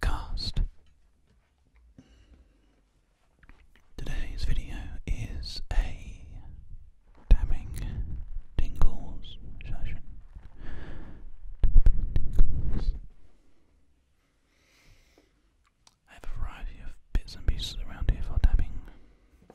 Cast. Today's video is a tapping tingles I have a variety of bits and pieces around here for tapping.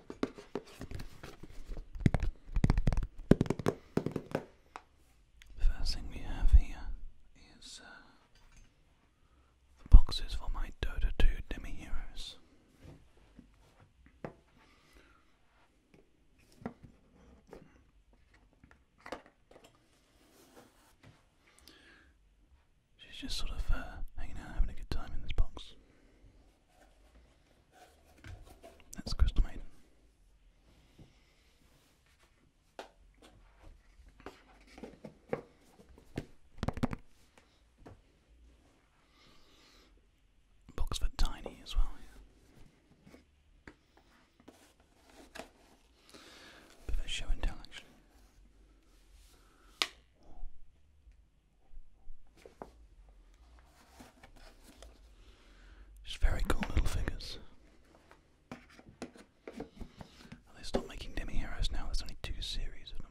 first thing we have here is uh, the boxes for my Dota 2 Demi Heroes. She's just sort of uh, hanging out, having a good time in this box. That's Crystal Maiden. Box Tiny as well, Bit of show and tell, actually. Just very cool little figures. They stopped making demi heroes now. There's only two series of them.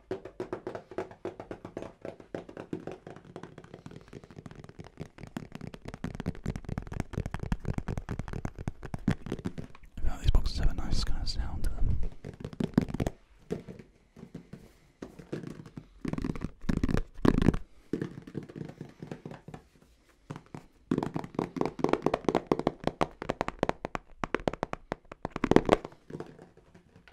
Now these boxes have a nice kind of sound to them.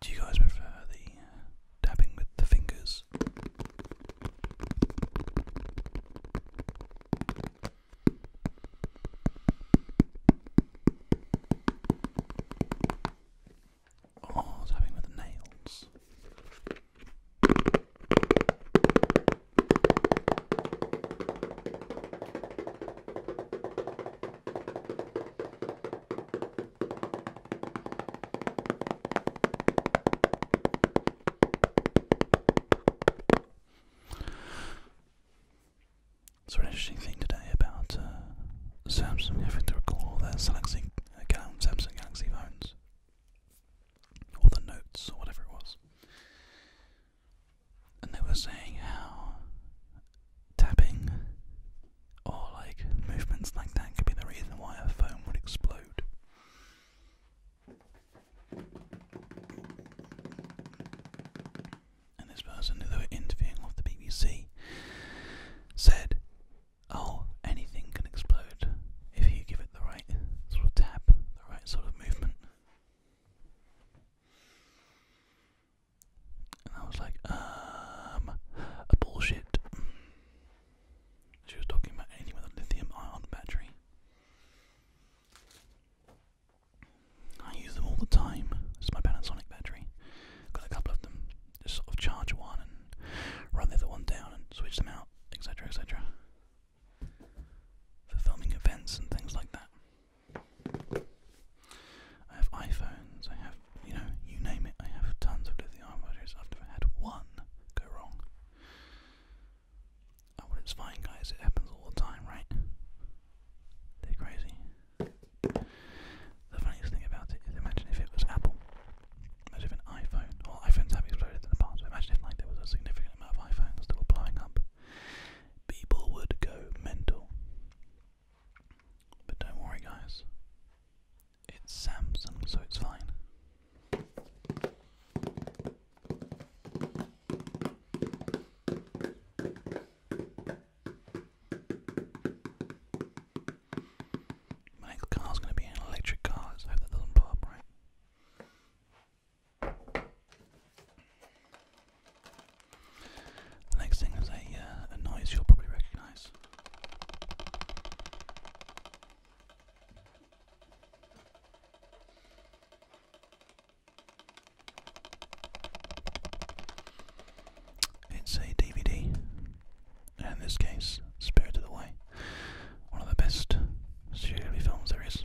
Do you guys prefer the uh, dabbing with the fingers? Oh, tapping with the nails. It's an interesting thing today about uh, Samsung, I think to recall their uh, Galaxy, Samsung Galaxy phones, or the Notes, or whatever it was. And they were saying how tapping or like movements like that could be the reason why a phone would explode. And this person who they were interviewing off the BBC said, Oh, anything can explode if you give it the right sort of tap, the right sort of movement. And I was like, um, a bullshit. She was talking about anything with a lithium ion battery. I use them all the time. This is my Panasonic battery. Got a couple of them. Just sort of charge one and run the other one down and switch them out, etc., etc. For filming events and things like that. I have iPhones. I have, you know, you name it. I have tons of lithium batteries. I've never had one go wrong. Oh, it's fine, guys. It happens all the time, right? They're crazy. The funniest thing about it is imagine if it was Apple. Imagine if an iPhone, well iPhones have exploded in the past, imagine if like there was a significant amount of iPhones that blowing up. People would go mental. But don't worry guys. It's Samsung, so it's fine. My next car's going to be an electric car. Let's hope that doesn't blow up, right? The next thing is a, uh, a noise you'll probably recognise. It's a DVD, and in this case, Spirited Away, one of the best Studio Ghibli films there is.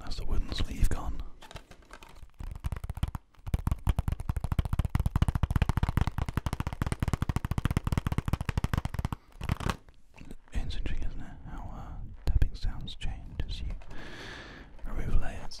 That's the wooden sleeve gone. interesting, isn't it? How uh, tapping sounds change as you remove layers.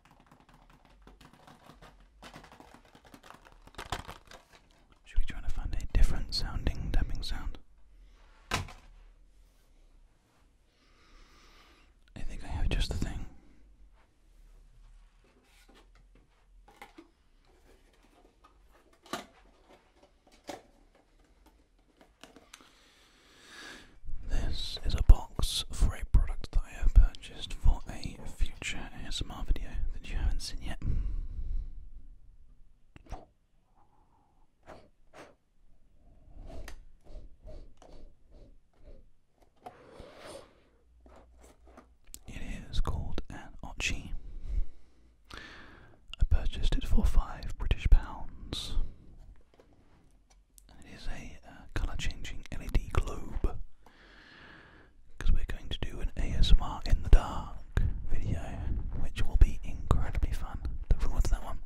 Should we try to find a different sounding tapping sound? I think I have just the thing. This is a box for a product that I have purchased for a future ASMR video that you haven't seen yet. It is called an Ochi. I purchased it for five British pounds. It is a uh, color changing LED globe because we're going to do an ASMR in the dark video, which will be incredibly fun. Look forward to that one.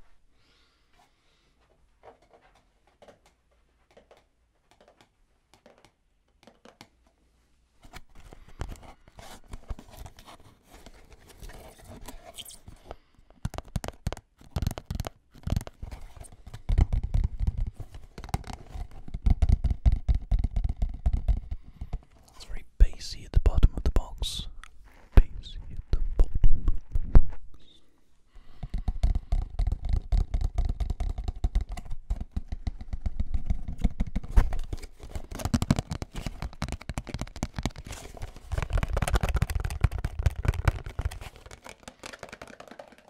It's very bassy at the bottom of the box. Bassy at the bottom of the box.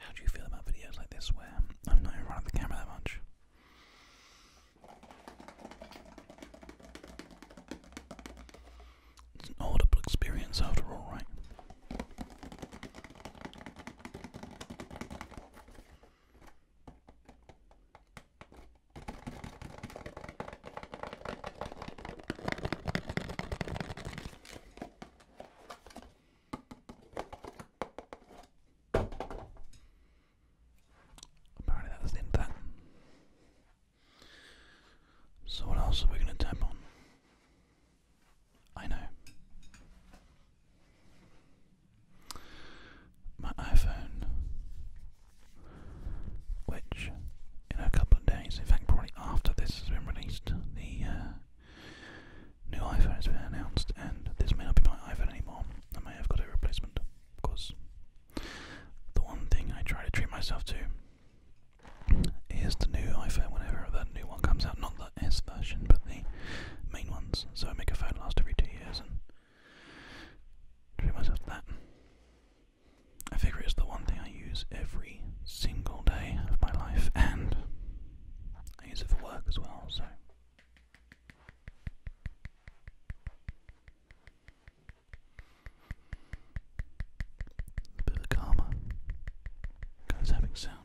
How do you feel about videos like this where I'm not even running the camera that much? It's an audible experience after all, right? Apparently that's the end that. So what else are we going to tap on? I know. My iPhone, which in a couple of days, in fact probably after this has been released, the uh, new iPhone has been announced and this may not be my iPhone anymore. I may have got a replacement because the one thing I try to treat myself to is the new iPhone whenever that new one comes out. Not the S version, but the main ones. So I make a phone last every two years and treat myself that. I figure it's the one thing I use every single day of my life, and I use it for work as well, so. A bit of a calmer. Guys having sound.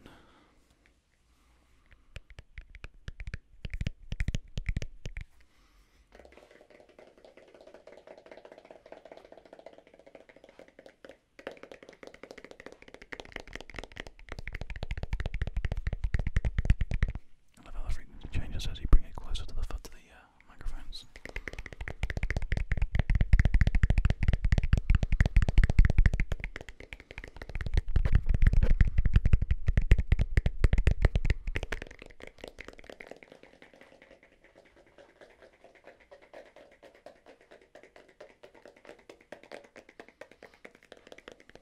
I love how frequency changes as you bring it closer to the foot of the uh, microphones.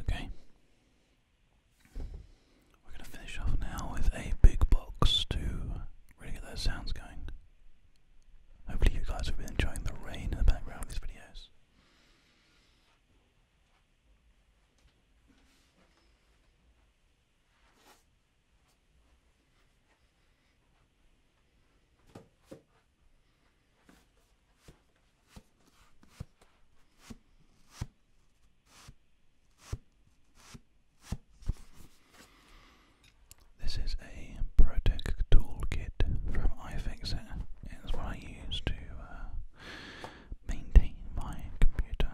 Okay. We're going to finish off now with a big box to get those sounds going. Hopefully, you guys have been enjoying the rain in the background of these videos. This is a Protec toolkit from iFixit. It's what I use to uh, maintain my computer.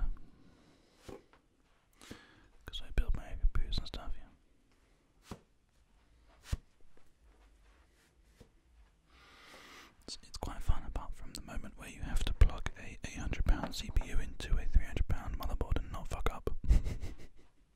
Because I build my computers and stuff, yeah. it's quite fun apart from the moment where you have to plug a £800 CPU into a £300 motherboard and not fuck up.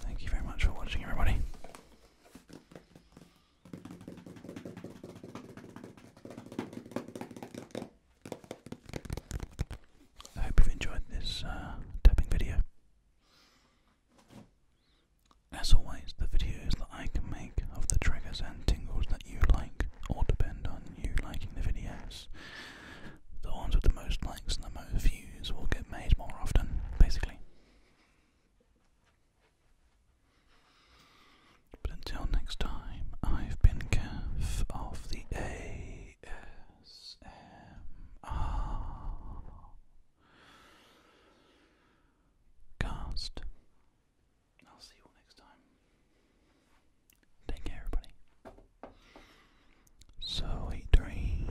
Thank you very much for watching, everybody. I hope you've enjoyed this uh, tapping video. As always, the videos that I can make of the triggers and tingles that you like all depend on you liking the videos. The ones with the most likes and the most views will get made more often, basically. But until next time, I've been Kev of the ASMR Cast. I'll see you all next time. Take care, everybody. Sweet dreams.